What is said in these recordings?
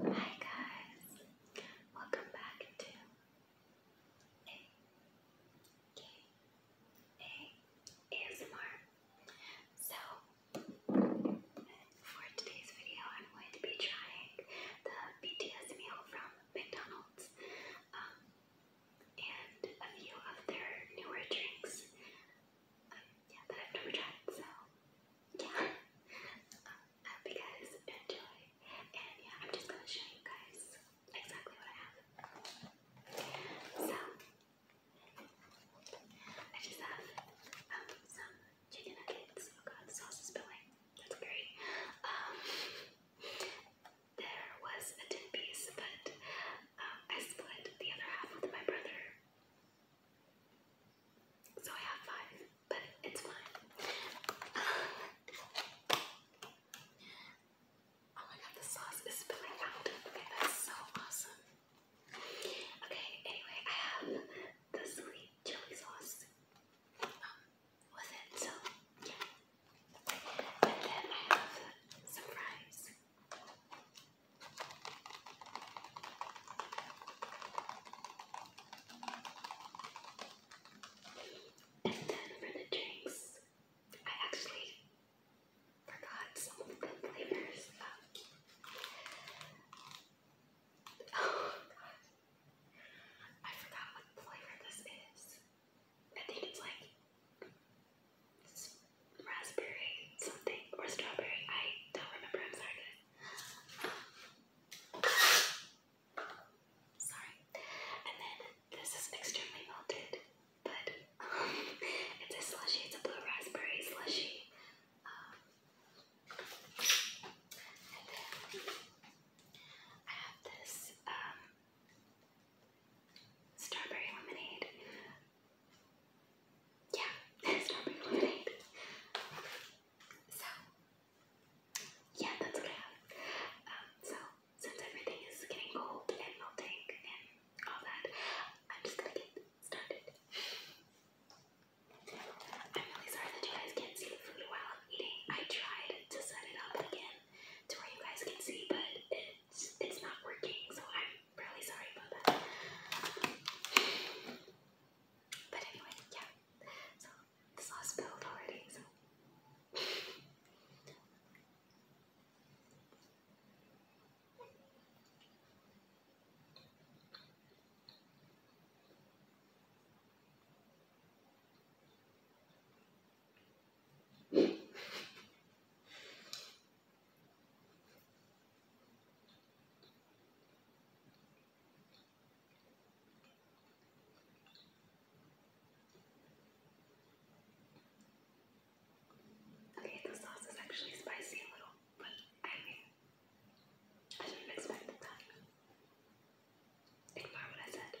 Hi guys, welcome back to A K A ASMR. So for today's video, I'm going to be trying the BTS meal from McDonald's um, and a few of their newer drinks um, yeah, that I've never tried. So yeah. um, enjoy. And yeah, I'm just gonna show you guys exactly what I have. So I just have um, some chicken nuggets. Oh god, the sauce is spilling. That's great. Um, there was a tin piece, but um, I split the other half with my brother. So I have five, but it's fine. oh my god, the sauce is spilling out. Okay, that's so awesome. Okay, anyway, I have the sweet chili sauce um, it, so yeah. And then I have some fries. And then for the drinks, I actually forgot some of the flavors. oh god. I forgot what flavor this is. I think it's like raspberry something or strawberry. I don't remember. I'm sorry Sorry. And then this is extremely melted, but um, it's a slushy. It's a blue raspberry slushy. Um, and then I have this um, strawberry lemonade. Yeah, strawberry lemonade. So, yeah, that's what I have. Um, so, since getting cold and melting and all that, I'm just gonna get started. I'm really sorry that you guys can't see the food while I'm eating. I tried to set it up again to where you guys can see, but it's, it's not working, so I'm really sorry about that. But anyway, yeah. So the sauce spilled already, so Okay, the sauce is actually spicy a little, but I mean, I should that. Ignore what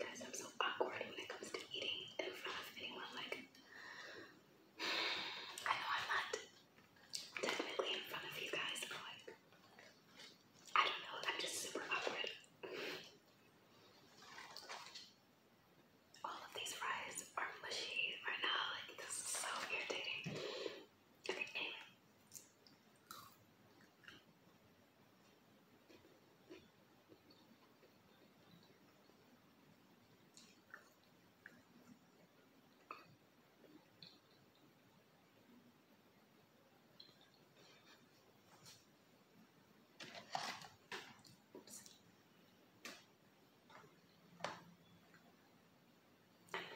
Guys, I'm so awkward when it comes to eating in front of anyone. Like, I know I'm not technically in front of you guys, but like, I don't know, I'm just super awkward. All of these fries are mushy right now, like, this is so irritating. I'm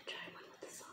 try one with the sauce.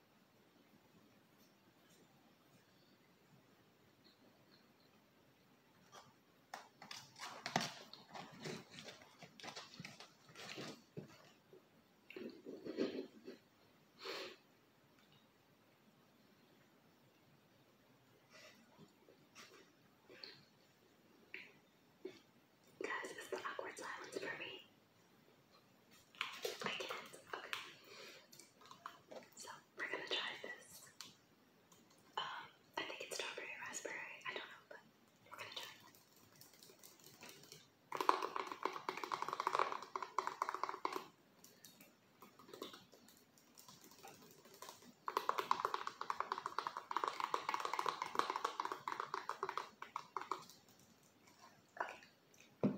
Guys, it's the awkward silence for me. I can't. Okay. So we're gonna try this. Um, I think it's strawberry raspberry. I don't know, but we're gonna try Okay.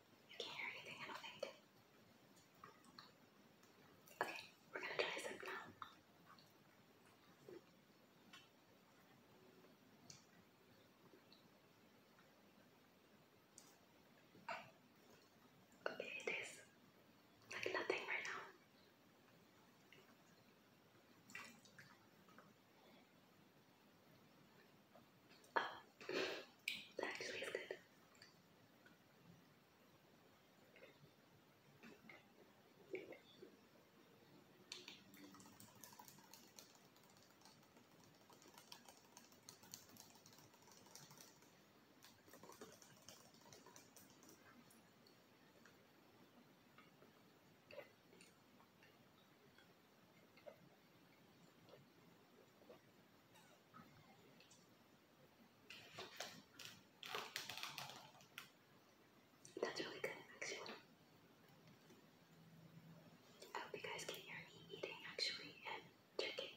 You can't hear anything, I don't think. Okay, we're gonna try some now. Okay, it is like nothing right now. That actually is good. That's really good, actually. I hope you guys can hear eating, actually, and drinking.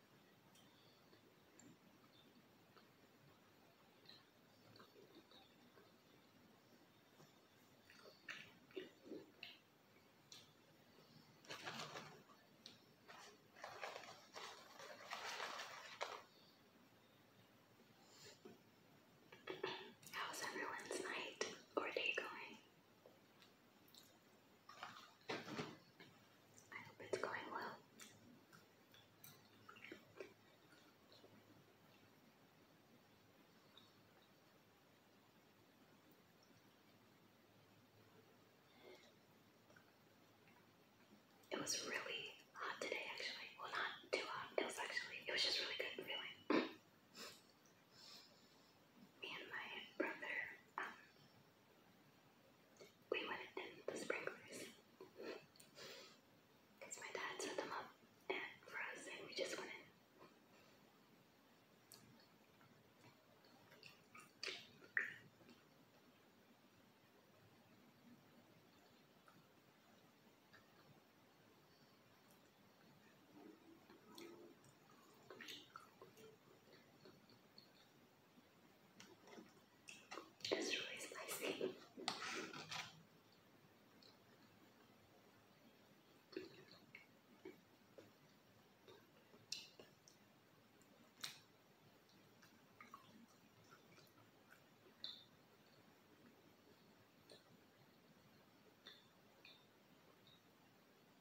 How's everyone's night or day going? I hope it's going well. It was really hot today, actually. Well, not too hot. It was actually, it was just really good feeling. Me and my brother um, we went in the sprinklers because my dad set them up and for us, and we just went it's really spicy.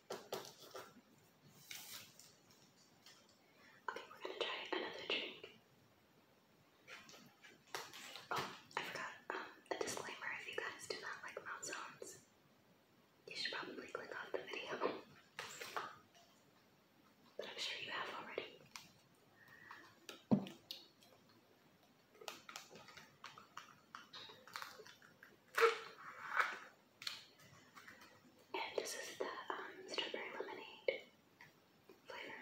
Okay, we're gonna try another drink. Oh, I forgot a um, disclaimer if you guys do not like mouth sounds, you should probably click off the video. But I'm sure you have already. And this is the um, strawberry lemonade flavor.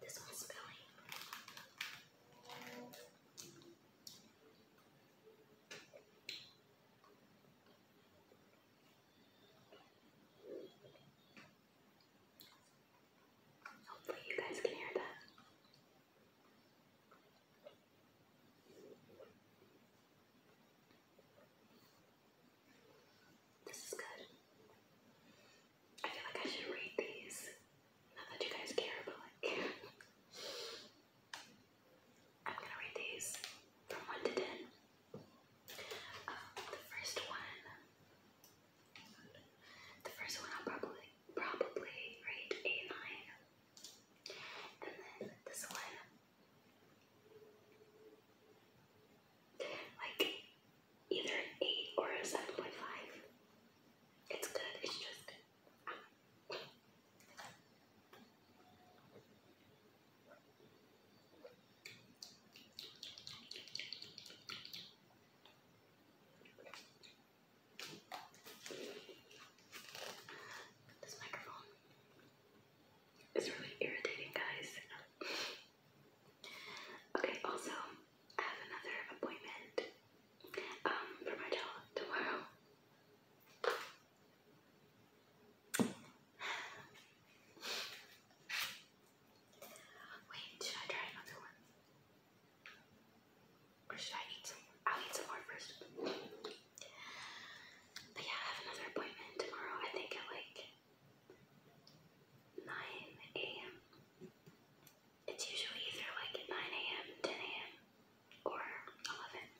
This one's spilling. Hopefully, you guys can hear that. This is good. I feel like I should read these. Not that you guys care, but like I'm gonna read these from 1 to 10. Um, the first one, the first one I'll probably, probably rate a 9. And then this one, like either 8 or a 7.5. It's good, it's just this microphone is really irritating, guys. okay, also, I have another appointment um, for my job tomorrow. Wait, should I try another one? Or should I eat some more? I'll eat some more first. But yeah, I have another appointment tomorrow, I think at like 9 a.m. It's usually either like 9 a.m., 10 a.m., or 11.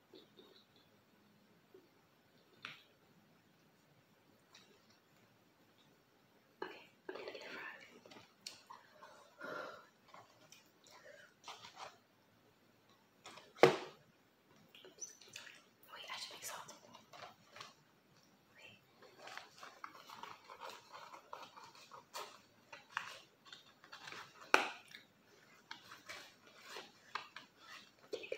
Okay, I'm going get a frog. Wait, I should make salt. Wait. you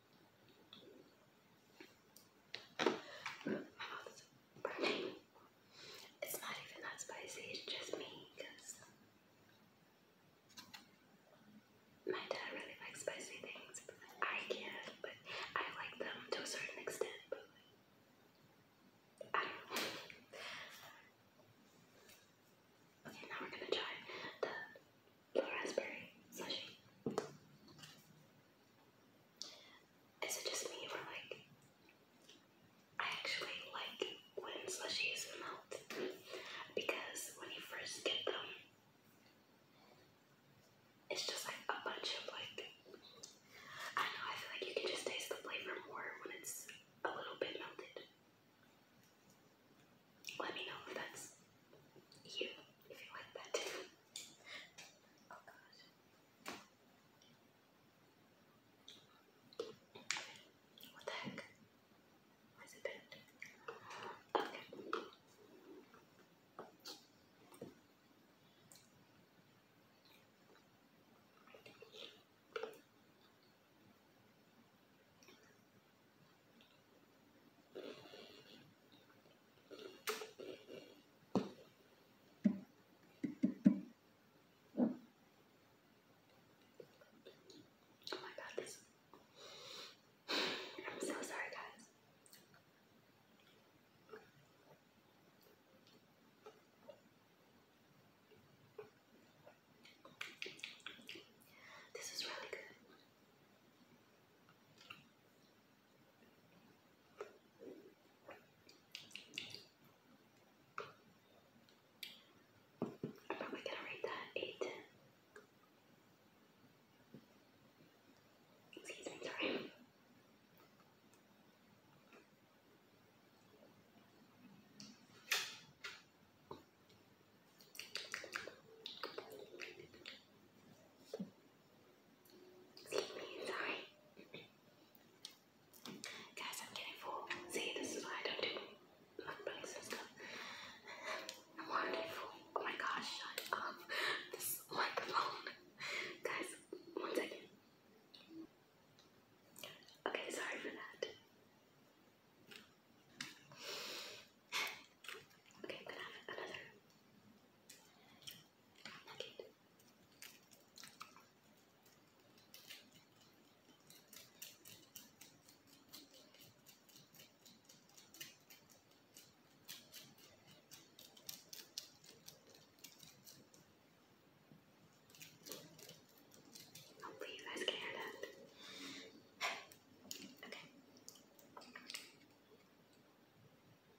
It's not even that spicy, it's just me because my dad really likes spicy things. I can't, but I like them to a certain extent, but I Okay, now we're gonna try the blue raspberry slushy. Is it just me or like I actually like when slushies melt because when you first get them it's just like a bunch of like I don't know, I feel like you can just taste the flavor more when it's a little bit melted. Let me know if that's you, if you like that too. Oh god. What the heck? Why is it bent? Okay. Oh my god, this. I'm so sorry, guys. This is really good. But we gonna rate that eight. Excuse me, sorry. Sleep me inside. Guys, I'm getting full. See, this is why I don't do mukbangs and stuff. I'm already full. Oh my gosh, shut up. This microphone. Guys, one second. Okay, sorry for that. Okay, I'm gonna have another Hopefully you guys can hear that. Okay.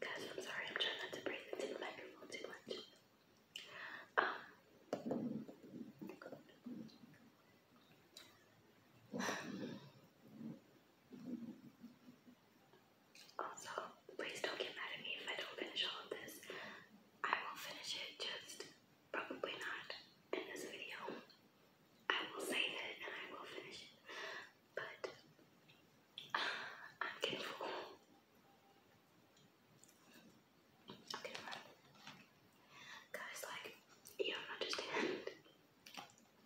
Guys, I'm sorry, I'm trying not to breathe into the microphone too much. Um, also, please don't get mad at me if I don't finish all of this. I will finish it, just probably not in this video. I will save it and I will finish it. But I'm getting full. Guys, like, you don't understand.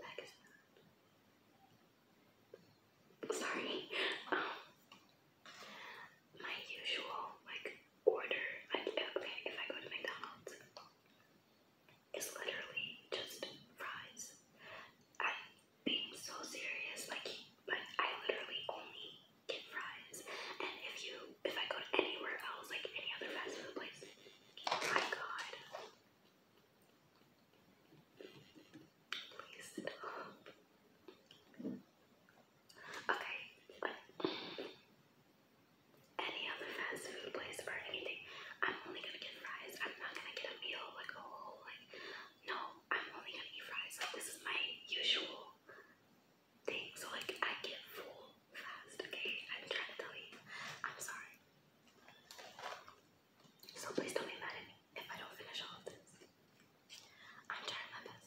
That is not understand thats Sorry. Um, my usual like order I okay, if I go to McDonald's is literally just fries. i being so serious. Like, like I literally only get fries. And if you, if I go to anywhere else, like any other fast food place, my god. Please stop. Any other fast food place or anything? I'm only gonna get fries. I'm not gonna get a meal like a whole like. No, I'm only gonna eat fries. Like this is my usual thing. So like I get full fast. Okay, I'm trying to tell you. I'm sorry. So please don't be mad at me if I don't finish all of this. I'm trying my best.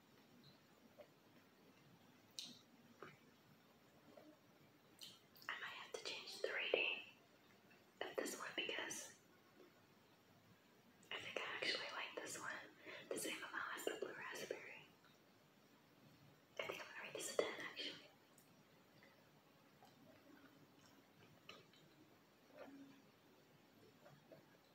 I might have to change the rating of this one because I think I actually like this one the same amount as the blue raspberry. I think I'm gonna rate this a 10 actually.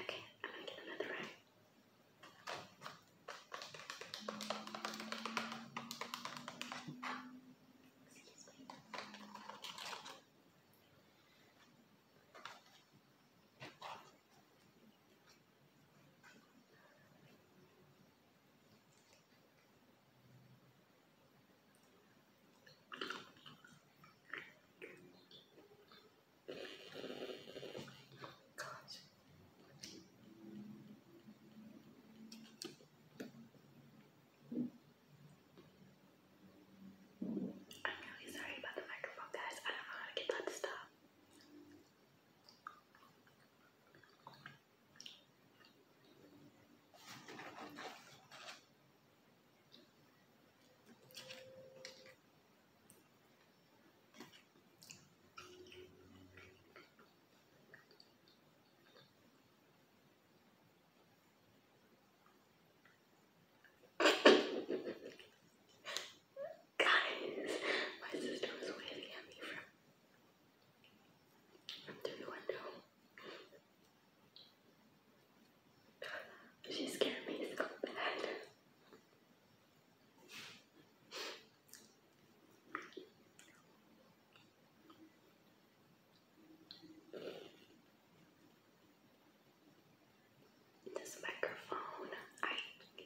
Okay, I'm going to get another round. Excuse me. I'm really sorry about the microphone, guys. I don't know how to get that to stop. Guys, my sister was waving at me from through the window. She scared me so bad. This microphone, I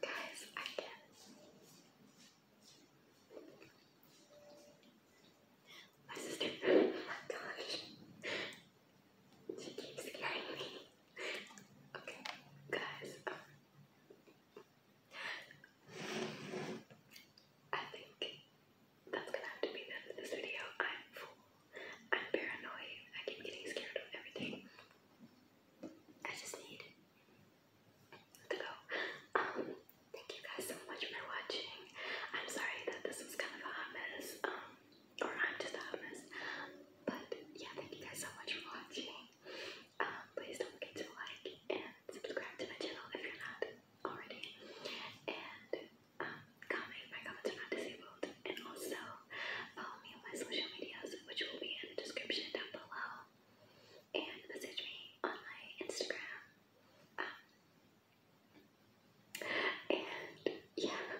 Guys, I can My sister, gosh, she keeps scaring me. Okay, guys, um, I think that's gonna have to be the this video. I'm full. I'm paranoid. I keep getting scared of everything. I just need to go. Um, thank you guys so much for watching. I'm sorry that this was kind of a hot mess. Um, or I'm just a hot mess. But yeah, thank you guys so much for watching. Um, please don't forget to like and subscribe to my channel if you're not already. And um, comment my comments are not disabled. And also follow me on my social medias, which will be in the description down below. And message me on my Instagram. Um, and yeah,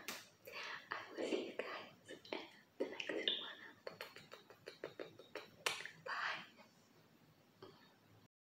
I will see you guys in the next one. Bye.